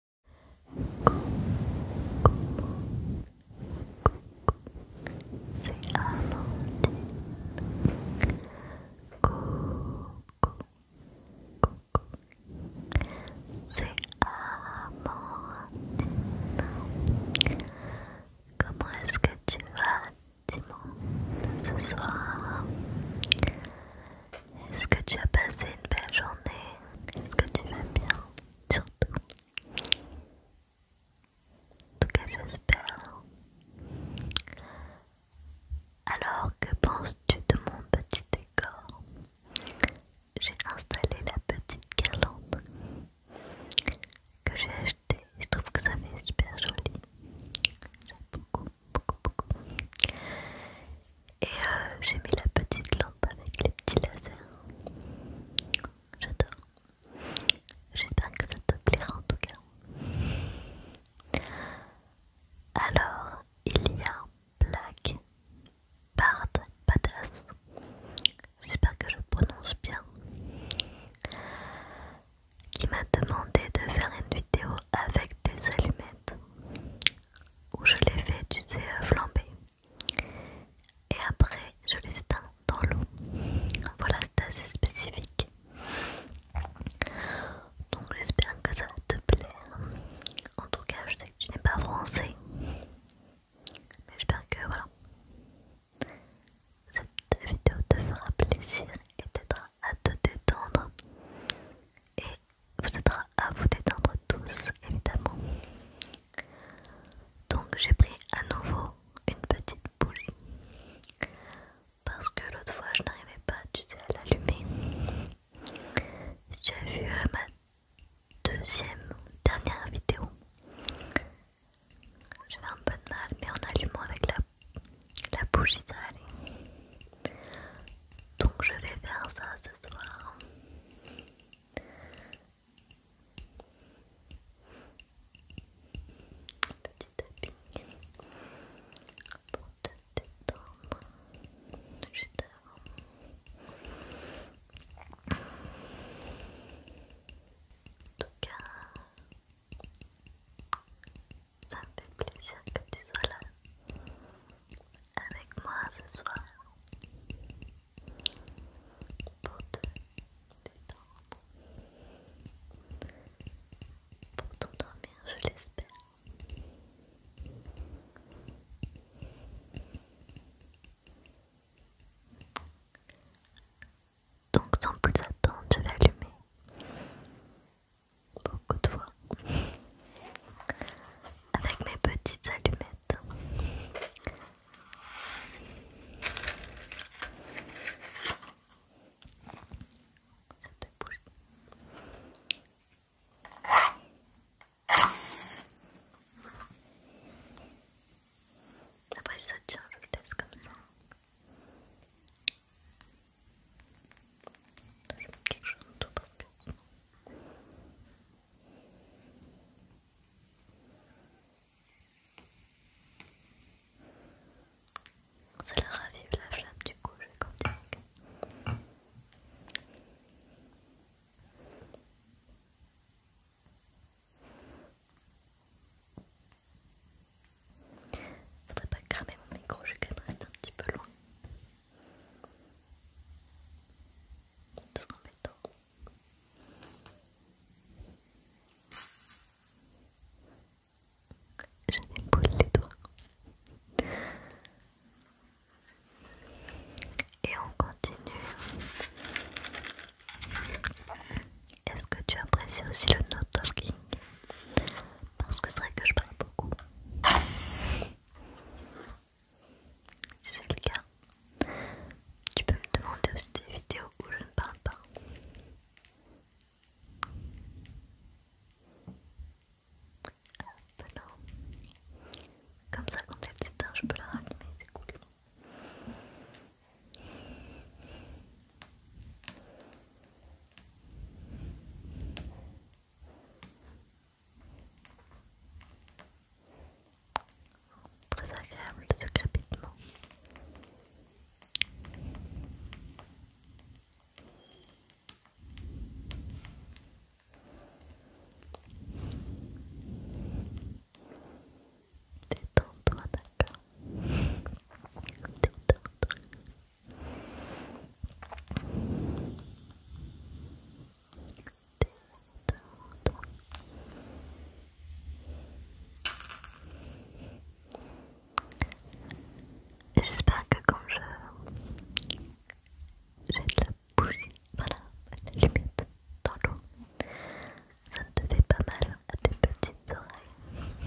c'est Amandine. Coucou, c'est Amandine. Comment est-ce que tu vas, Timon, ce soir? Est-ce que tu as passé une belle journée Est-ce que tu vas bien Surtout. En tout cas, j'espère. Alors, que penses-tu de mon petit décor J'ai installé la petite guirlande que j'ai achetée. Je trouve que ça fait super joli. J'aime beaucoup, beaucoup, beaucoup. Et euh, j'ai mis la petite lampe avec les petits lasers. J'adore. J'espère que ça te plaira en tout cas. Alors, il y a Black Bard Badass. J'espère que je prononce bien. Qui m'a demandé de faire une vidéo avec des allumettes. Où je les fais, tu sais, euh, flamber et après je les éteins dans l'eau. Voilà, c'est assez spécifique. Donc j'espère que ça va te plaire. En tout cas, je sais que tu n'es pas français. Mais j'espère que voilà. Cette vidéo te fera plaisir et t'aidera à te détendre et vous aidera à vous détendre tous, évidemment. Donc j'ai pris à nouveau une petite bougie parce que l'autre fois je n'arrivais pas, tu sais, à l'allumer. Si tu as vu euh, ma deuxième, dernière vidéo, j'avais un peu de mal, mais en allumant avec la, la bougie, ça allait. Donc je vais faire ça ce soir. Petit tapping pour te détendre juste avant. En tout cas, ça me fait plaisir que tu sois là avec moi ce soir pour te détendre, pour t'endormir, je l'espère. Donc sans plus attendre, je vais allumer beaucoup de fois avec mes petites allumettes. ça te bouge Après si ça tient, je le laisse comme ça. Je mets quelque chose en tout ça la ravive la flamme, du coup je vais continuer. Faudrait pas cramer mon micro, je vais quand même rester un petit peu loin. C'est embêtant. Je les doigts. Et on continue. Est-ce que tu apprécies aussi le no talking Parce que c'est vrai que je parle beaucoup. Si c'est le cas, tu peux me demander aussi des vidéos où je ne parle pas. Ah, bah Comme ça, quand elle s'éteint, je peux la rallumer, c'est cool. Très agréable ce crépitement. Détends-toi, d'accord. Détends-toi. J'espère que quand je jette la bougie, voilà, la limite dans l'eau, ça ne te fait pas mal à tes petites oreilles.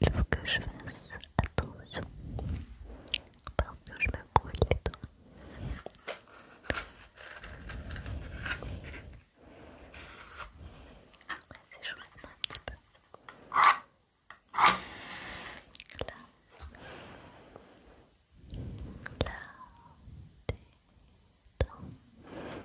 Il faut que je fasse attention parce que je me brûle les doigts. Vas-y, je un petit peu. Là. Là. Détends. Détends.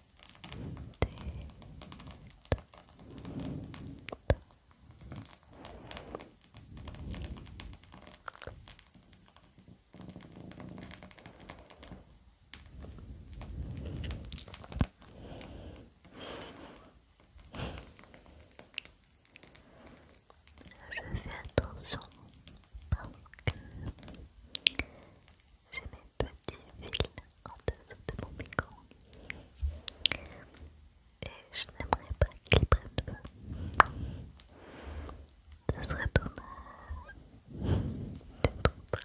Je fais attention parce que j'ai mes petits fils en dessous de mon micro. Et je n'aimerais pas qu'ils prennent feu. Ce serait dommage. Tu tout trouves pas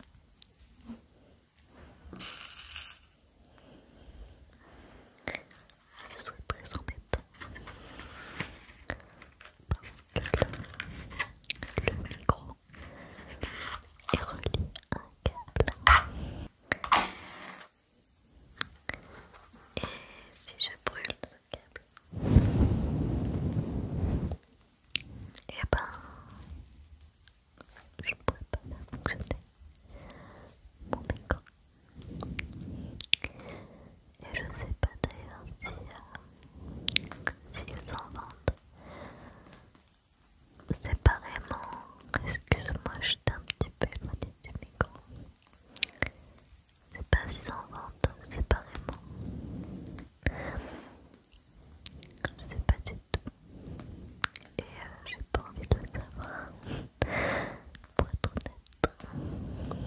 je serais très embêtant parce que le micro et relie un câble. Et si je brûle ce câble, et eh ben je ne pourrais pas faire fonctionner mon micro. Et je ne sais pas d'ailleurs si, euh, si en vendent séparément. Excuse-moi, je suis un petit peu éloignée du micro. C'est pas si en vente séparément. Je sais pas du tout. Et euh, j'ai pas envie de le savoir. Pour être honnête.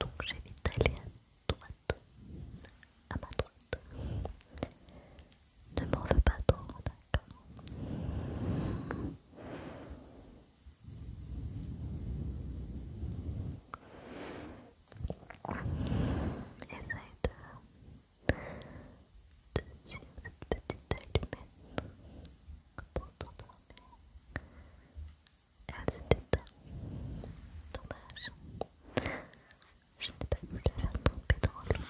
Donc j'ai vite d'aller à droite. À ma droite. Ne m'en veux pas trop, d'accord Essaye de, de suivre cette petite allumette pour t'endormir. Elle s'est éteinte. Dommage. Je n'ai pas voulu la faire tomber dans l'eau.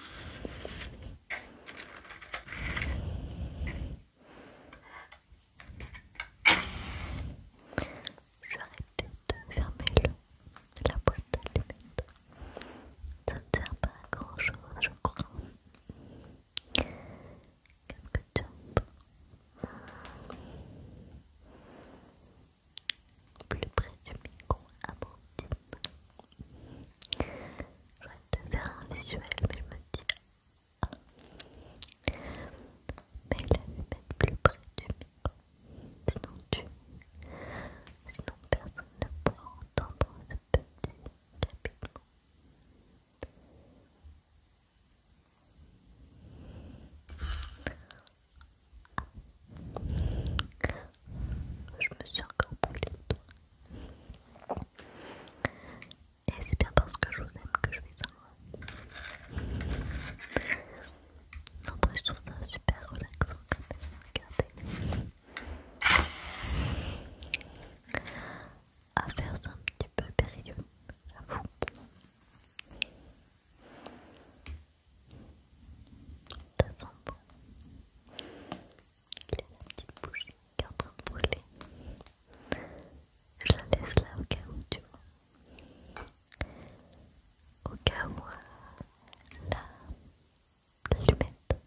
arrêter de fermer la boîte à lunettes. Ça ne sert pas à grand chose, je crois. Qu'est-ce que tu plus près du micro Je vais te faire un visuel, mais je me dis. Ah. Mais la a vais mettre plus près du micro. Sinon, tu... Sinon personne ne pourra entendre ce petit chapitre. Je me suis encore brûlée le toi. Et c'est bien parce que je vous aime que je fais ça. En plus, je trouve ça super relaxant quand même. Regardez. À faire, c'est un petit peu périlleux, j'avoue. Ça sent bon. Il y a la petite bougie qui est en train de brûler. Je la laisse là au cas où, tu vois. Au cas où, La Lumette l'allumette,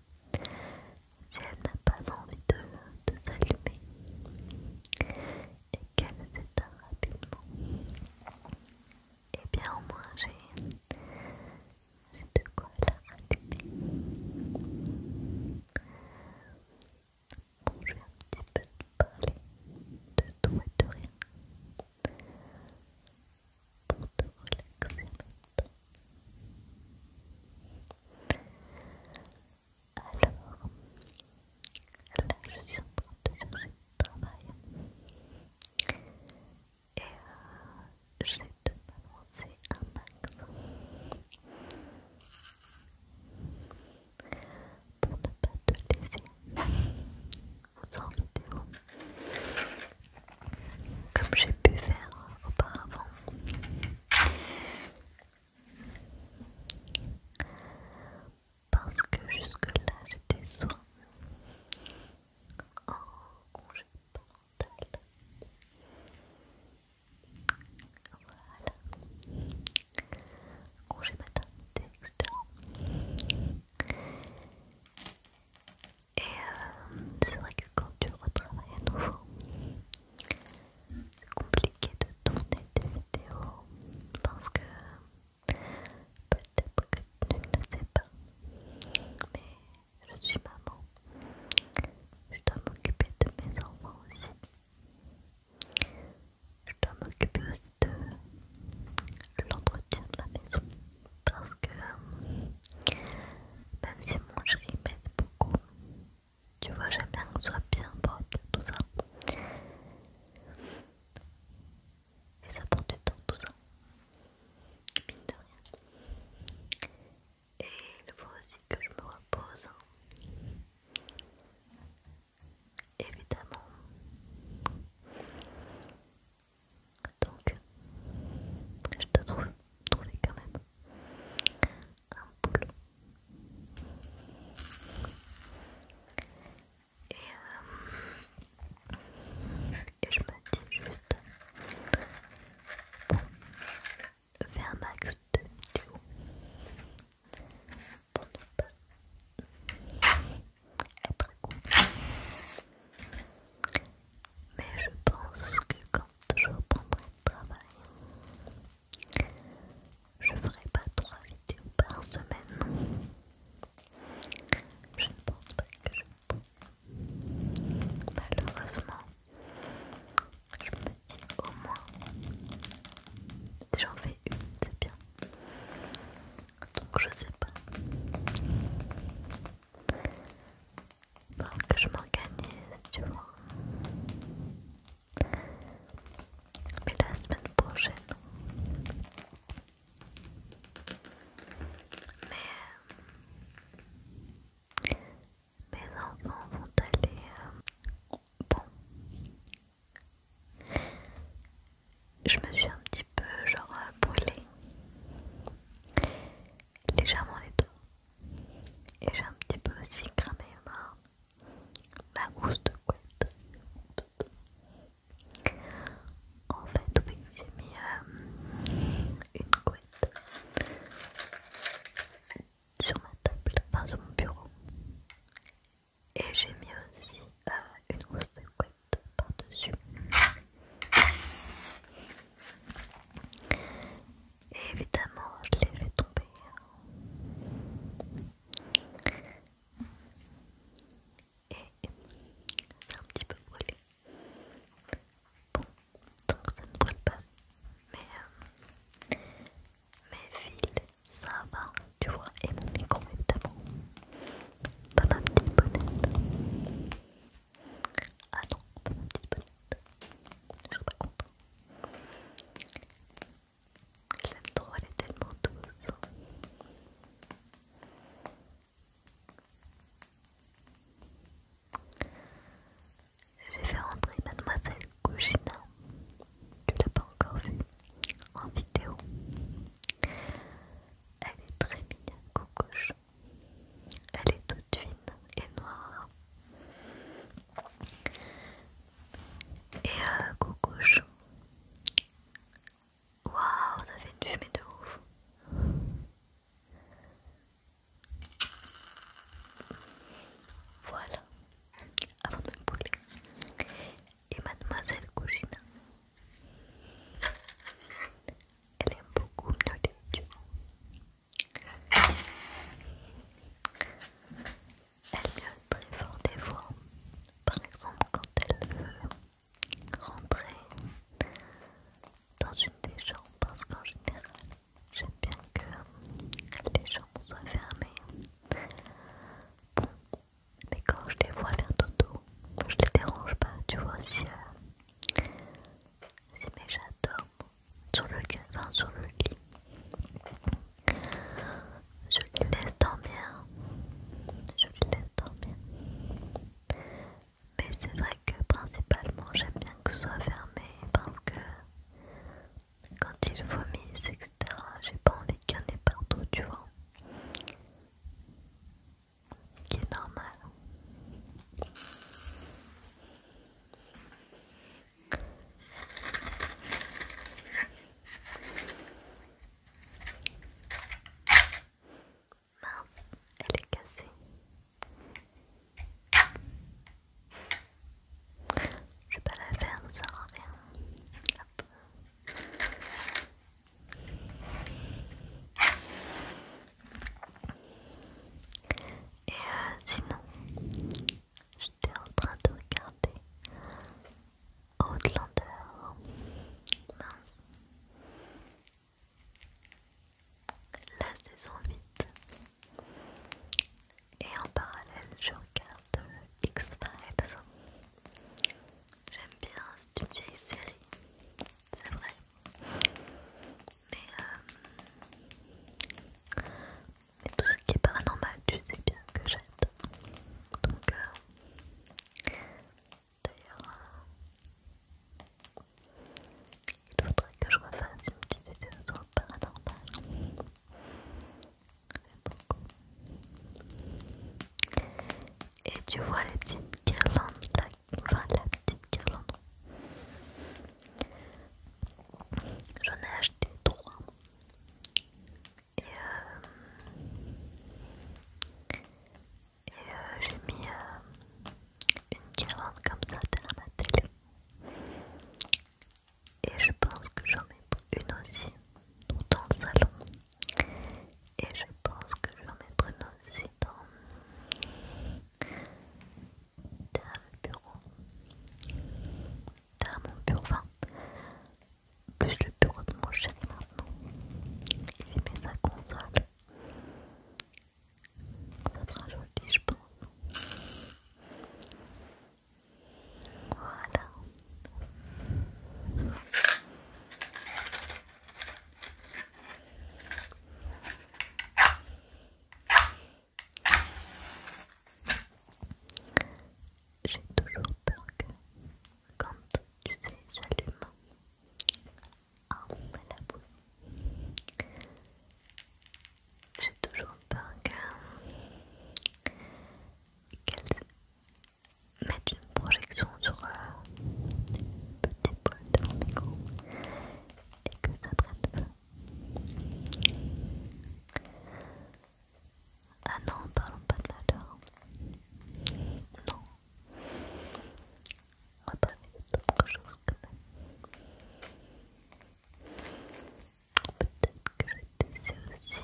si elle n'a pas envie de, de s'allumer et qu'elle s'éteint rapidement, et eh bien au moins j'ai c'est de quoi la rallumer. Bon, je vais un petit peu te parler de tout et de rien pour te relaxer maintenant. Alors, là je suis en train de chercher du travail et euh, je vais te balancer un max pour ne pas te laisser en vidéo comme j'ai pu faire auparavant parce que jusque là j'étais soit en congé congé parental. Voilà. Congé etc. Et euh, c'est vrai que quand tu retravailles à nouveau, c'est compliqué de tourner des vidéos parce que peut-être que tu ne le sais pas, mais je suis maman. Je dois m'occuper de mes enfants aussi. Je dois m'occuper aussi de l'entretien de la maison. Parce que euh, même si mon chéri m'aide beaucoup, tu vois, j'aime bien soit bien propre, tout ça. Et ça prend du temps, tout ça. Et le faut aussi que je me repose. Hein. Évidemment. Donc, je te trouve trouver quand même un boulot. Et euh, et je me dis juste bon, faire max de vidéos pour ne pas être content Mais je pense que quand je reprendrai le travail, je ferai pas trois vidéos par semaine. Je ne pense pas que je Malheureusement, je me dis au moins, j'en fais une, c'est bien. Donc je sais pas. que je m'organise, tu vois. Mais la semaine prochaine. Mais euh, mes enfants vont aller... Euh, bon. Je me suis un petit peu genre euh, brûlée. Légèrement les deux Et j'ai un petit peu aussi cramé ma, housse de couette. En fait, oui, j'ai mis euh, une couette sur ma table, enfin sur mon bureau. Et j'ai mis aussi euh, une grosse de couette par-dessus. Et évidemment, je l'ai fait tomber. Et c'est un petit peu brûlé. Bon, donc ça ne brûle pas. Mais euh, mes fils, ça va, tu vois, et mon micro évidemment. Pas ma petite bonnette. Ah non, pas ma petite bonnette. Je suis pas content elle trop, elle est tellement douce. Je vais faire entrer mademoiselle Kouchina, tu l'as pas encore vue, en vidéo. Elle est très mignonne, coucouche. Elle est toute fine et noire. Et euh, Waouh, ça fait une fumée de ouf. Voilà, avant de me brûler. Et mademoiselle Cougina, elle aime beaucoup mieux tu Elle miaule très fort des fois, par exemple quand elle veut rentrer dans une des chambres parce qu'en général, j'aime bien que les chambres soient fermées. mais quand je les vois faire dodo, je les dérange pas, tu vois, si, euh, mes chats dorment sur le, sur le lit. Je les dormir. Je les laisse dormir. Mais c'est vrai que principalement j'aime bien que ce soit fermé parce que quand ils vomissent, etc., j'ai pas envie qu'il y en ait partout, tu vois. Ce qui est normal. Mince, elle est cassée. Je vais pas la faire, ça rend rien. Et euh, sinon, j'étais en train de regarder Outlander. Mince la saison 8. Et en parallèle, je regarde X-Files. J'aime bien, c'est une vieille série, c'est vrai. Mais, euh, tout ce qui est paranormal, tu sais bien que j'aime. Donc, euh, d'ailleurs, euh, il faudrait que je refasse une petite vidéo sur le paranormal. beaucoup. Et tu vois les petites guirlandes enfin la petite guirlande. J'en ai acheté trois. Et, euh, et euh, j'ai mis euh, une carotte comme ça derrière ma télé. Et je pense que j'en mettre une aussi dans le salon. Et je pense que je vais en mettre une aussi dans, le bureau. Derrière mon bureau, enfin, plus le bureau de mon chéri maintenant. Il mis sa console. Ça sera joli, je pense. Voilà. J'ai toujours peur que quand tu sais, j'allume met la boule. J'ai toujours peur qu'elle mette une projection sur euh, une petite de mon micro et que ça prenne feu. Ah non, parlons pas de malheur. Non. On va parler d'autre chose quand même. Peut-être que je vais te laisser aussi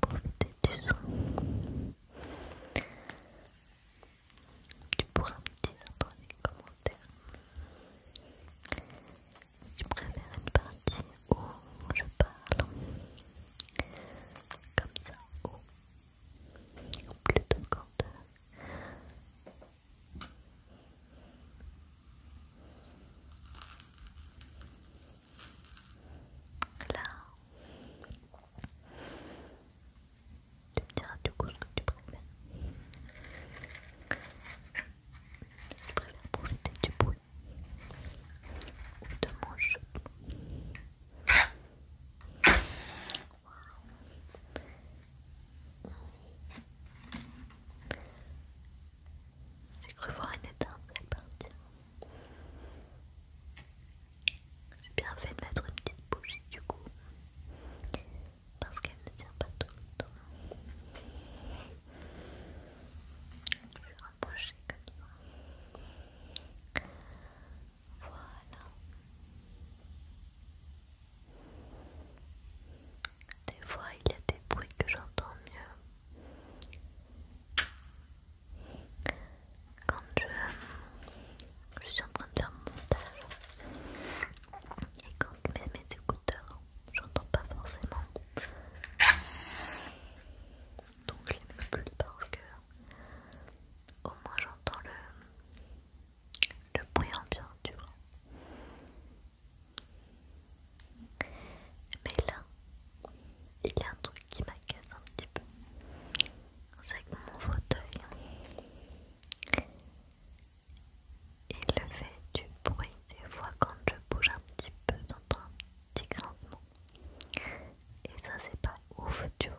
profiter du son. Tu pourras me dire dans les commentaires si tu préfères une partie où je parle comme ça ou plutôt de euh, Là, tu me diras du coup ce que tu préfères. Tu préfères jeter du bruit ou de mon chute j'ai cru voir une étincelle partir. J'ai bien fait de mettre une petite bougie du coup, parce qu'elle ne tient pas tout le temps. Je vais rapprocher comme ça. Voilà. Des fois, il y a des bruits que j'entends mieux. Quand je, je suis en train de faire mon montage et quand je mets mes écouteurs, j'entends pas forcément. Donc je les mets plus parce que Au moins j'entends le, le bruit ambiant, tu vois. Mais là, il y a un truc qui m'agace un petit peu. C'est que mon fauteuil, il fait du bruit des fois quand je bouge un petit peu, dans un petit grincement. Et ça, c'est pas ouf, tu vois.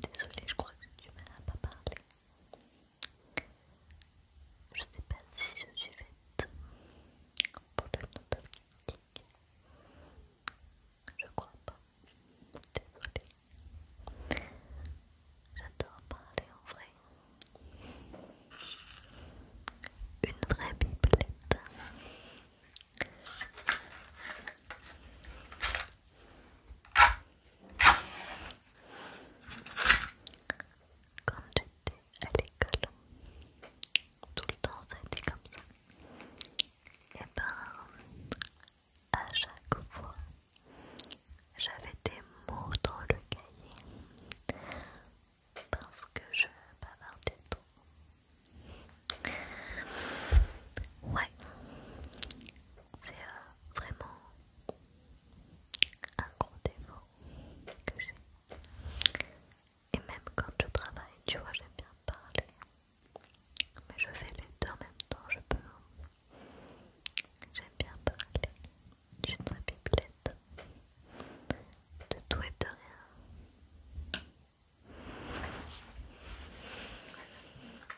Désolée, je crois que tu m'en as pas parlé, Je sais pas si je suis faite pour le Je crois pas. Désolée. J'adore parler en vrai. Une vraie biblette. Quand j'étais à l'école, tout le temps ça comme ça. Et eh ben, à chaque fois, j'avais des mots dans le cahier parce que je bavardais trop. Ouais, c'est euh, vraiment un gros défaut que j'ai. Et même quand je travaille, tu vois, j'aime bien parler. Mais je fais les deux en même temps, je peux. Hein. J'aime bien parler. Je suis ma De tout et de rien.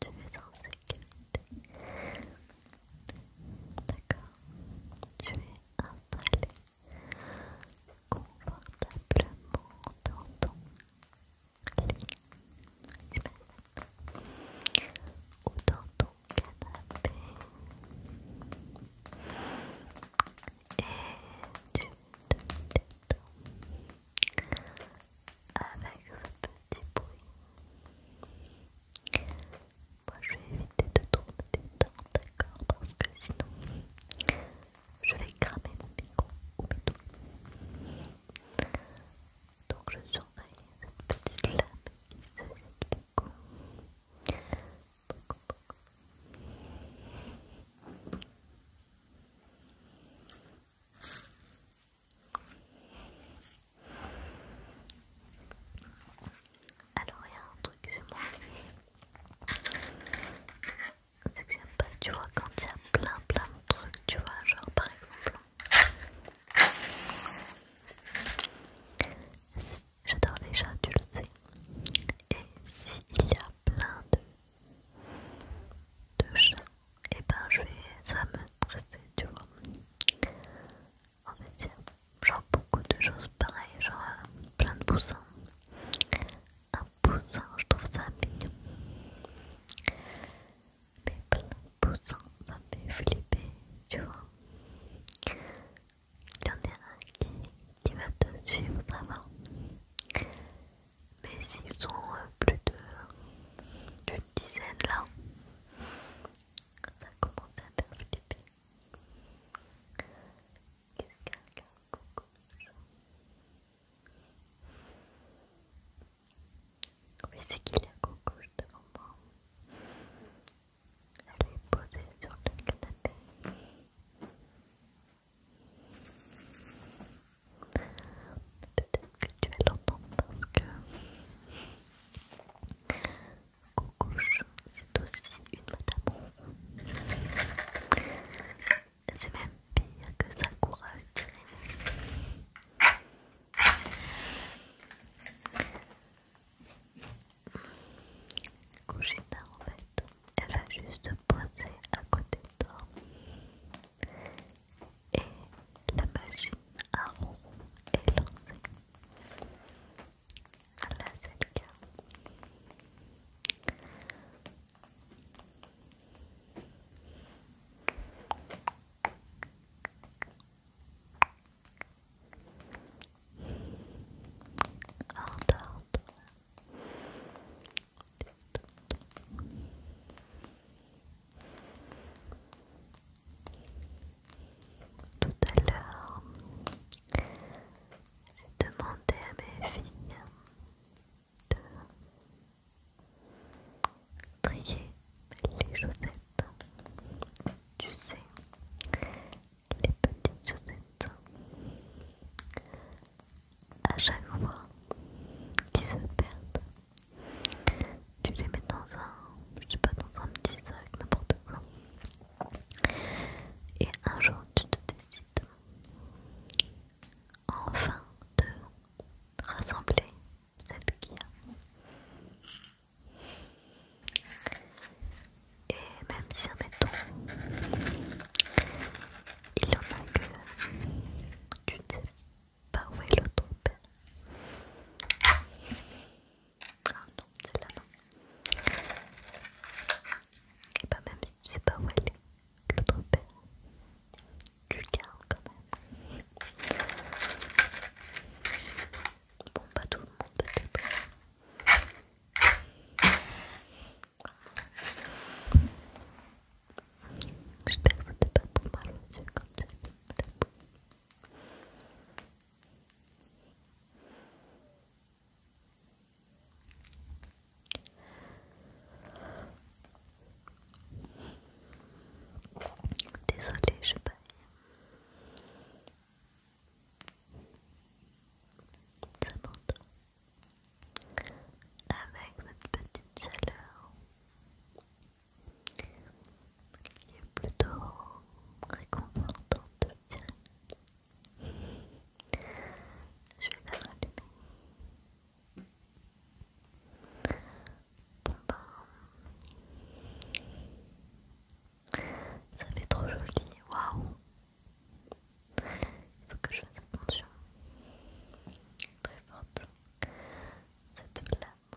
tu es en sécurité. D'accord. Tu es installé confortablement dans ton lit, eh ben. ou dans ton canapé. Et tu te détends avec ce moi je vais éviter de tourner des dents, d'accord Parce que sinon je vais cramer mon micro ou mes doigts. Donc je surveille cette petite lame qui fait beaucoup. Beaucoup, alors il y a un truc chez moi. C'est que j'aime pas, tu vois, quand il y a plein plein de trucs, tu vois, genre par exemple. J'adore les chats, tu le sais. Et s'il y a plein de, de chats et eh ben je vais ça va me stresser tu vois en fait genre beaucoup de choses pareilles genre euh, plein de poussins un poussin je trouve ça mignon mais plein de poussins ça me fait flipper tu vois il y en a un qui, va te suivre ça va mais s'ils ont euh, plus d'une dizaine là, ça a commencé à faire du bébé. Qu'est-ce a qu'un coucou Oui, c'est qu'il y a coucouche devant moi Elle est posée sur le canapé. Bébé peut-être que tu vas l'entendre parce que Coucouche, c'est aussi une madame. C'est même pire que Sakura, courage. dirais. en fait, elle va juste pointer à côté de toi et la machine à ronds est lancée. Là, c'est le cas. Voilà. Tout à l'heure, j'ai demandé à mes filles de trier les chaussettes. Tu sais, les petites chaussettes. À chaque fois qu'ils se perdent, tu les mets dans un, je sais pas, dans un petit sac, n'importe quoi. Et un jour, tu te décides enfin de rassembler cette guilla. Et même si, admettons, il y en a que tu te pas bah où est le trompette Ah non, c'est là non. Et pas bah même si tu sais pas où elle est, l'autre père, tu le gardes quand même. Bon pas tout le monde peut-être. J'espère que t'es pas trop mal aux yeux comme tu as dit. Désolée, je baille. Ça monte Avec cette petite chaleur. Il est plutôt réconfortante, je dire. Je vais la rallumer. Bon ben, ça fait trop joli, waouh! Il faut que je fasse attention. Très forte. Cette lame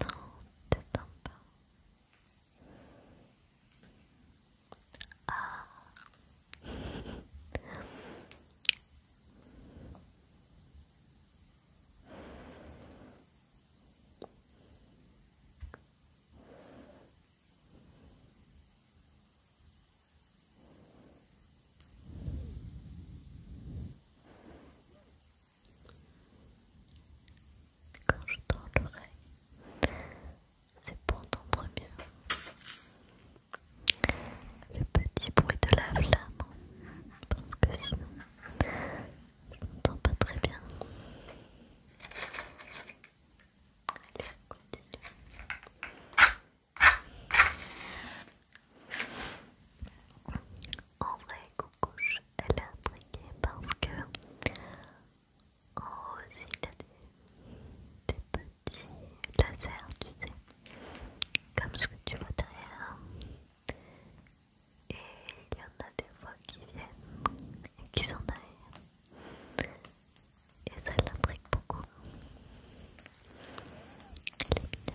Non, t'attends pas. Ah. Quand je tends l'oreille, c'est pour entendre mieux le petit bruit de la flamme, parce que sinon je n'entends pas très bien. Allez, on continue en vrai, coucou, elle est intriguée parce que en oh, haut il a des, petits lasers, tu sais, comme ce que tu vois derrière. Hein. Et il y en a des fois qui viennent et qui sont derrière. Et ça l'intrigue beaucoup. Elle est bien.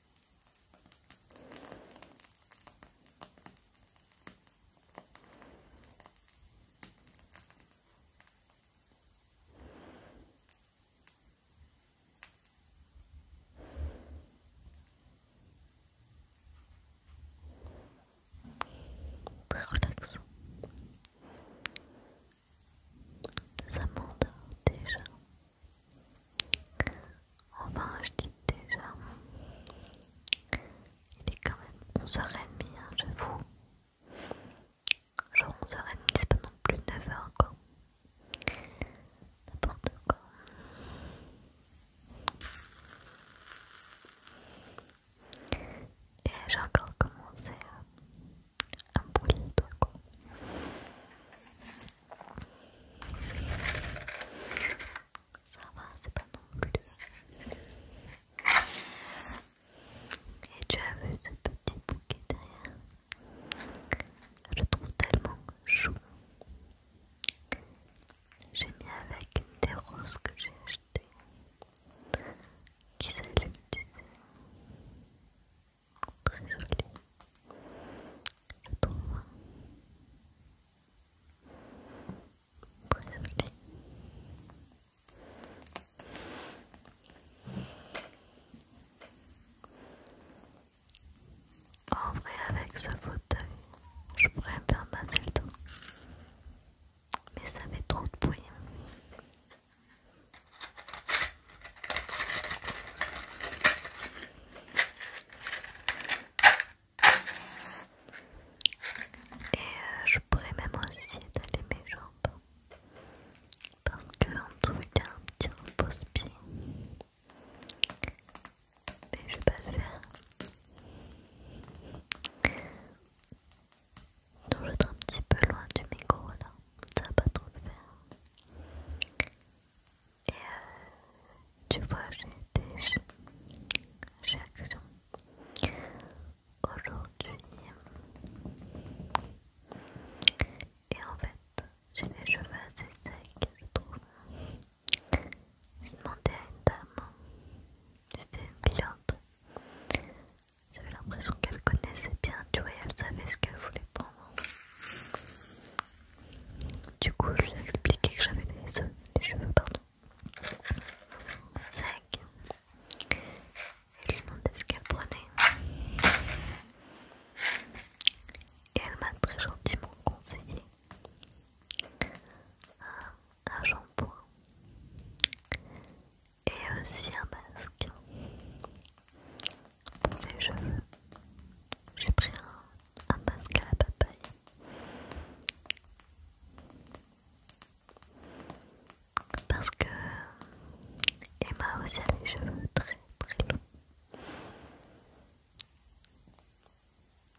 Très relaxant. Ça m'endort déjà. Enfin, je dis déjà, il est quand même 11h30, hein, j'avoue. Genre 11h30, c'est pendant plus de 9h quoi. N'importe quoi. Et j'ai encore commencé euh, à me brûler quoi. Ça va, c'est pas non plus. Et tu as vu ce petit bouquet derrière Je le trouve tellement chou. J'ai mis avec une des roses que j'ai achetées qui s'allume, tu sais. Très jolie. Je trouve. En vrai, avec ce fauteuil, je pourrais bien passer le dos. Mais ça fait trop de bruit. Et euh, je pourrais même aussi étaler mes jambes parce que en tout y un petit repose-pied. Mais je vais pas le faire. Donc je un petit peu loin du micro là, ça va pas trop le faire. Et tu vois, j'ai été chez Action aujourd'hui. Et en fait, j'ai des cheveux assez secs, je trouve. J'ai demandé à une dame, c'était une cliente. J'avais l'impression qu'elle connaissait bien, tu vois, elle savait ce qu'elle voulait prendre. Du coup, je lui ai expliqué que j'avais les, cheveux, pardon, secs. Je lui ai demandé ce qu'elle prenait. Et elle m'a très gentiment conseillé un, un shampoing et aussi un masque pour les cheveux. J'ai pris un un masque à la papaye. Parce que Emma aussi a les cheveux très très longs.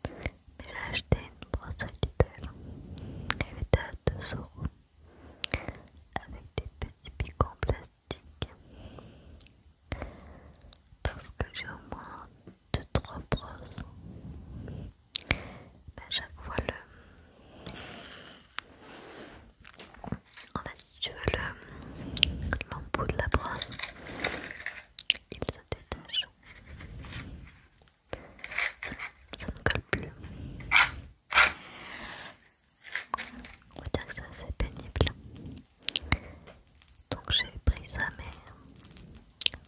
Mais j'ai acheté une brosse à Lidl. Elle était à 2 euros. Avec des petits pics en plastique. Parce que j'ai au moins deux trois brosses mais bah, à chaque fois le en fait si tu veux le... l'embout de la brosse il se détache ça, ça ne colle plus on va dire que c'est assez pénible donc j'ai pris ça, mais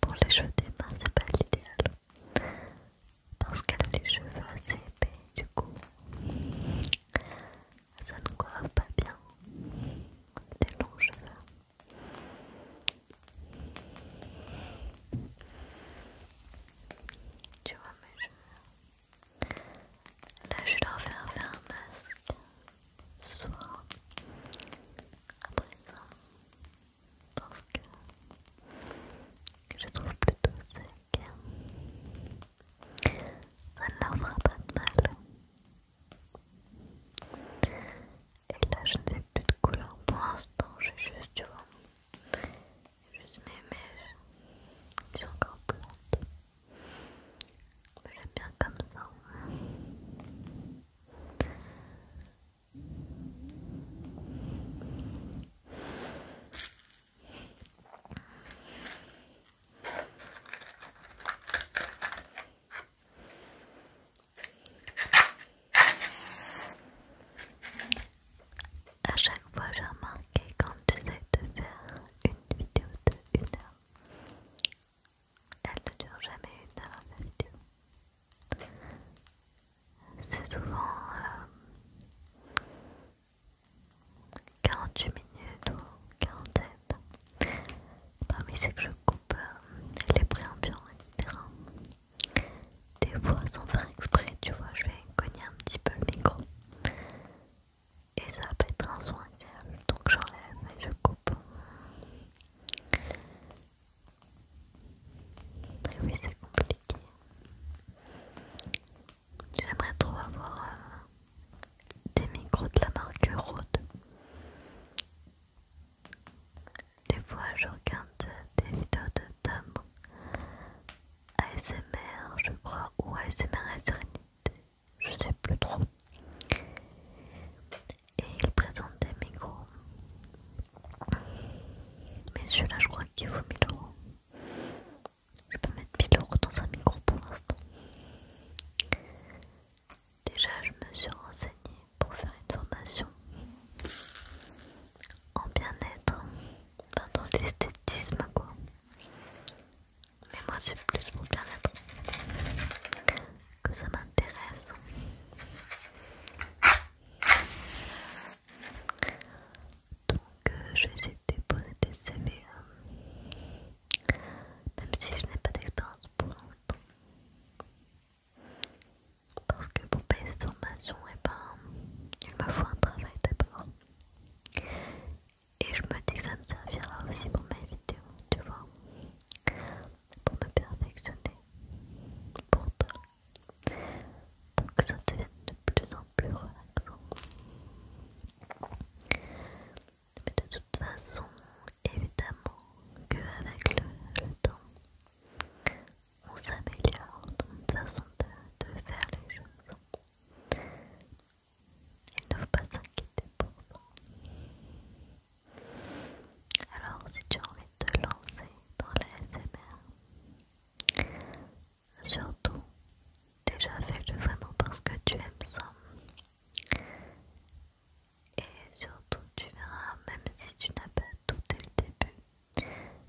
pour les cheveux des c'est pas l'idéal. Parce qu'elle a les cheveux assez épais, du coup, ça ne coiffe pas bien des longs cheveux. Tu vois mes cheveux Là, je vais leur faire faire un masque ce soir à présent parce que je trouve plutôt sec ça ne leur fera pas de mal et là je n'ai plus de couleur pour l'instant j'ai juste tu vois juste mes mèches qui sont encore plantes mais j'aime bien comme ça. À chaque fois, j'ai remarqué quand vais de faire une vidéo de une heure, elle ne dure jamais une heure la vidéo. C'est souvent 48 euh, minutes ou 47. Parmi c'est que je coupe euh, les préambulants, etc. Des fois sans faire exprès, tu vois, je vais cogner un petit peu le micro. Et ça va être un soin donc j'enlève et je coupe oui, c'est compliqué. J'aimerais trop avoir euh, des micros de la marque Rode. Des fois, je regarde des vidéos de Tom ASMR, je crois, ou ASMR à je sais plus trop et il présente des micros. Mais celui-là, je crois qu'il vaut 1000 euros. Je peux mettre 1000 euros dans un micro pour l'instant. Déjà, je me suis renseignée pour faire une formation en bien-être, dans l'esthétisme quoi. Mais moi, c'est plus mon bien-être que ça m'intéresse. Donc euh, je vais essayer de déposer des CV, euh, même si je n'ai pas d'expérience pour l'instant. Parce que pour payer cette formation, eh ben, il me faut un travail d'abord. Et je me dis que ça me servira aussi pour mes vidéos, tu vois pour me perfectionner pour toi, pour que ça devienne de plus en plus relaxant. Mais de toute façon, évidemment qu'avec le, temps, on s'améliore dans notre façon de, de faire les choses. Il ne faut pas s'inquiéter pour ça. Alors, si tu as envie de te lancer dans la S.M.R., surtout, déjà fais-le vraiment parce que tu aimes ça. Et surtout, tu verras, même si tu n'as pas tout dès le début,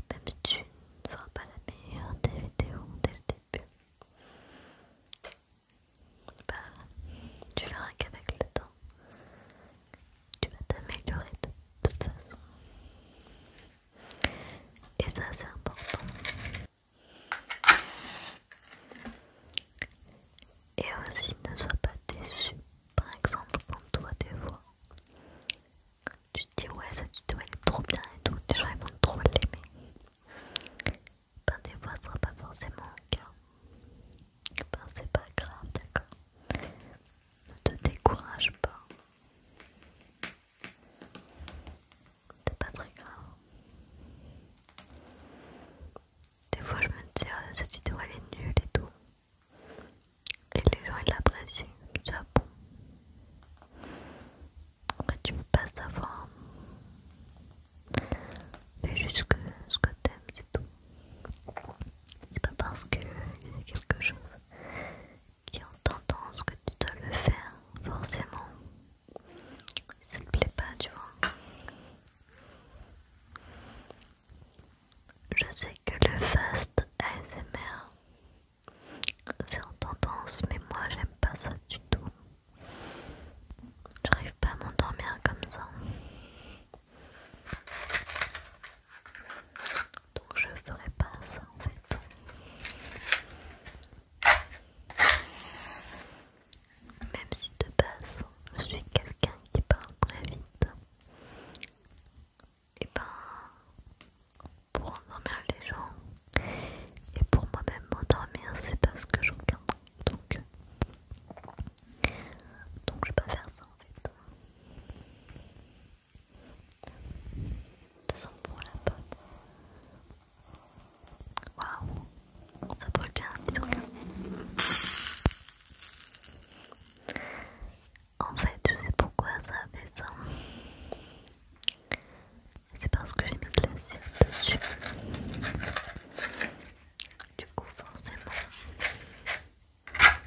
même si tu ne feras pas la meilleure des vidéos dès le début, bah, tu verras qu'avec le temps, tu vas t'améliorer de toute façon. Et ça, c'est important. Et aussi, ne sois pas déçu. Par exemple, quand toi, des voix tu te dis ouais, ça te vois est trop bien et tout, les gens ils vont trop l'aimer. Ben, des fois, ce sera pas forcément le cas. Ben, c'est pas grave, d'accord Ne te décourage pas. C'est pas très grave. Des fois je me dis, ah, cette vidéo elle est nulle et tout. Et les gens ils l'apprécient. ça ah bon. Après tu peux pas savoir. Fais juste ce que t'aimes, c'est tout. C'est pas parce que a quelque chose qui est en tendance que tu dois le faire, forcément. Ça te plaît pas, tu vois. Je sais que le fast ASMR, c'est en tendance, mais moi j'aime pas ça du tout. J'arrive pas à m'endormir comme ça. Donc je ferai pas ça en fait. Même si de base je suis quelqu'un qui parle très vite, et eh ben pour endormir les gens et pour moi-même m'endormir, c'est parce que j'entends Donc, donc je vais pas faire ça. En fait, Ça sent bon la pomme. Waouh, ça brûle bien, c'est donc. Hein. En fait, je sais pourquoi ça a fait ça. C'est parce que j'ai mis de la cire dessus. Du coup, forcément, ah,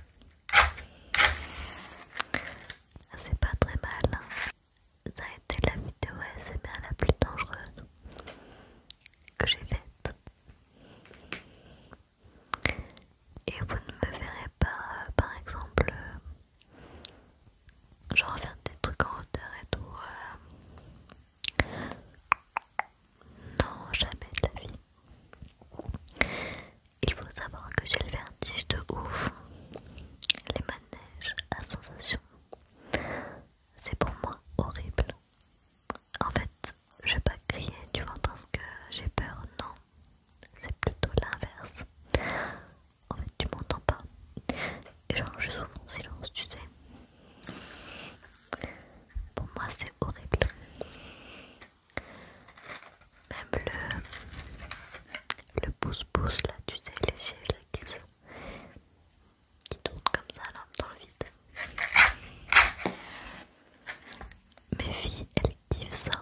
c'est pas très mal. Hein. Ça a été la vidéo bien la plus dangereuse que j'ai faite. Et vous ne me verrez pas, euh, par exemple, euh, genre faire des trucs en hauteur et tout. Euh, non, jamais de vie. Il faut savoir que j'ai le vertige de ouf. Les manèges la sensation. C'est pour moi horrible. En fait, je vais pas crier, tu vois, parce que j'ai peur. Non, c'est plutôt l'inverse. En fait, tu m'entends pas. Et genre, je souffre en silence, tu sais. Pour moi, c'est horrible. Même le, le pouce-pouce là, tu sais, les sièges qui tournent comme ça là dans le vide. Mes filles, elles kiffent ça.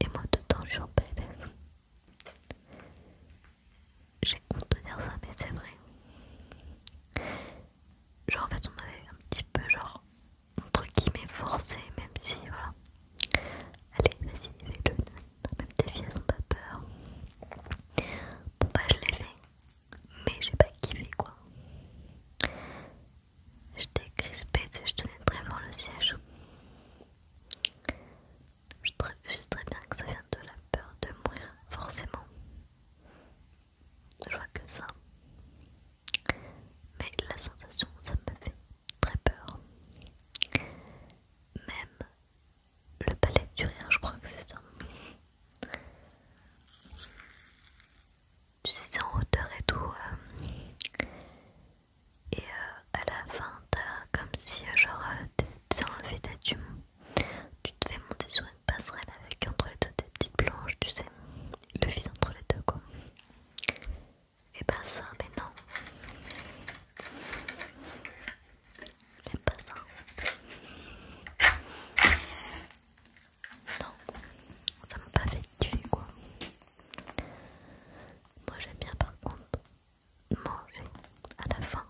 Et moi, temps, je suis en PLS. J'ai honte de dire ça, mais c'est vrai genre en fait on avait un petit peu genre qui guillemets forcé même si voilà allez vas-y fais-le même tes filles elles ont pas peur bon bah, je l'ai fait mais j'ai pas kiffé quoi j'étais crispée tu je tenais très fort le siège je sais très bien que ça vient de la peur de mourir forcément je vois que ça. Mais la sensation, ça me fait très peur. Même le palais du rien je crois que c'est ça. Tu sais, c'est en hauteur et tout. Euh. et euh, à la fin, t'as comme si, euh, genre, t'es enlevé ta dune. Tu te fais monter sur passerelle avec entre les deux des petites planches, tu sais, le vide entre les deux quoi. Et eh pas ben, ça, mais non. J'aime pas ça. Non, ça m'a pas fait kiffer quoi. Moi j'aime bien par contre manger à la fin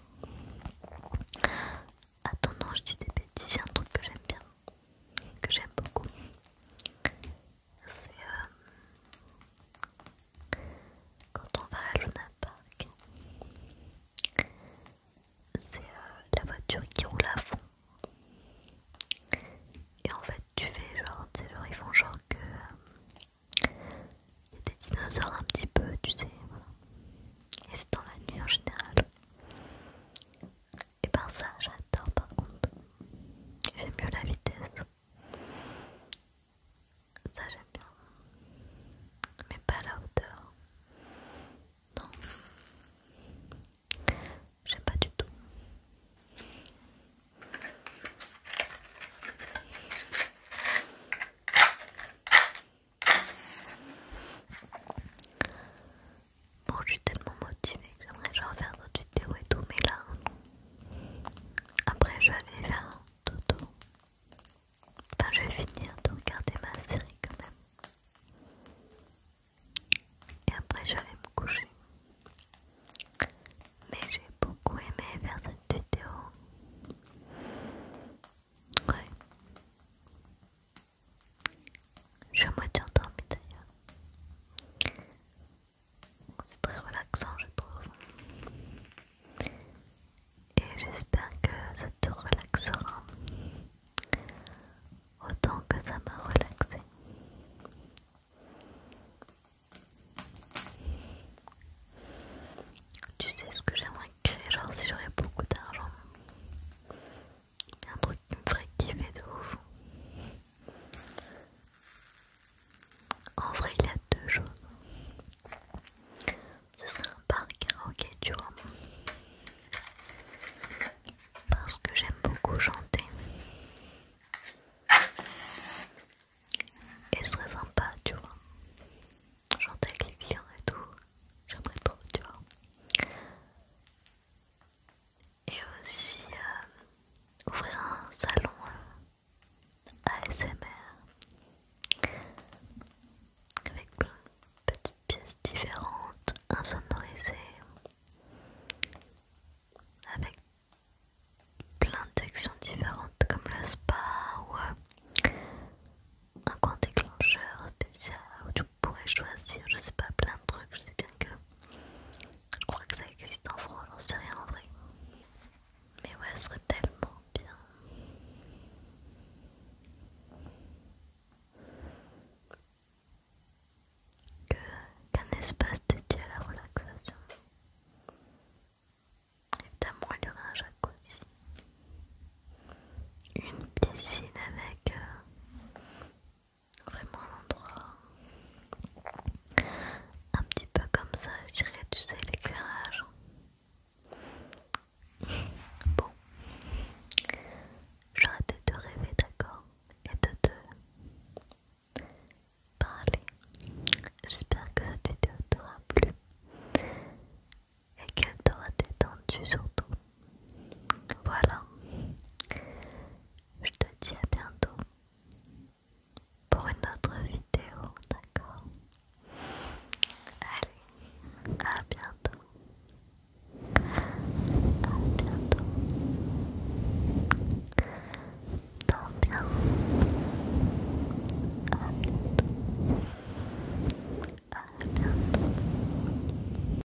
Attends, non, je dis des bêtises, a un truc que j'aime bien, que j'aime beaucoup. C'est euh, quand on va à Luna Park, c'est euh, la voiture qui roule à fond. Et en fait, tu fais genre, tu sais, genre, ils font genre que. Euh, il y a des dinosaures un petit peu, tu sais, voilà. Et c'est dans la nuit en général. Et eh par ben, ça j'adore par contre. J'aime mieux la vitesse. Ça j'aime bien. Mais pas la hauteur. Non. J'aime pas du tout. Bon, je suis tellement motivée que j'aimerais genre faire d'autres vidéos et tout, mais là, après je vais aller faire un Enfin, je vais finir de regarder ma série quand même. Et après, je vais me coucher. Mais j'ai beaucoup aimé faire cette vidéo. Ouais. Je suis à moitié endormie d'ailleurs. C'est très relaxant, je trouve. Et j'espère que ça te relaxera autant que ça m'a relaxé. Tu sais ce que j'aimerais créer, genre si j'aurais beaucoup d'argent. Il y a un truc qui me ferait kiffer de ouf. En vrai, il y a deux choses. Ce serait un parc ok tu vois. Parce que j'aime beaucoup chanter. Et ce serait sympa, tu vois. Chanter avec les clients et tout. J'aimerais trop, tu vois et aussi euh, ouvrir un salon euh, ASMR avec plein de petites pièces différentes, insonorisées, avec plein d'actions différentes comme le spa ou euh, un coin déclencheur spécial ou pourrais choisir, je sais pas, plein de trucs, je sais bien que je crois que ça existe en France, j'en sais rien en vrai. Mais ouais, ce serait tellement bien. Qu'un espace dédié à la relaxation. Évidemment, il y aurait un jacuzzi, une piscine avec euh, Vraiment un endroit un petit peu comme ça, je dirais, tu l'éclairage. bon, j'arrête de rêver, d'accord, et de te parler. J'espère que cette vidéo t'aura plu et qu'elle t'aura détendu surtout. Voilà. Je te dis à bientôt pour une autre vidéo, d'accord Allez, à bientôt. À bientôt. bien. À bientôt.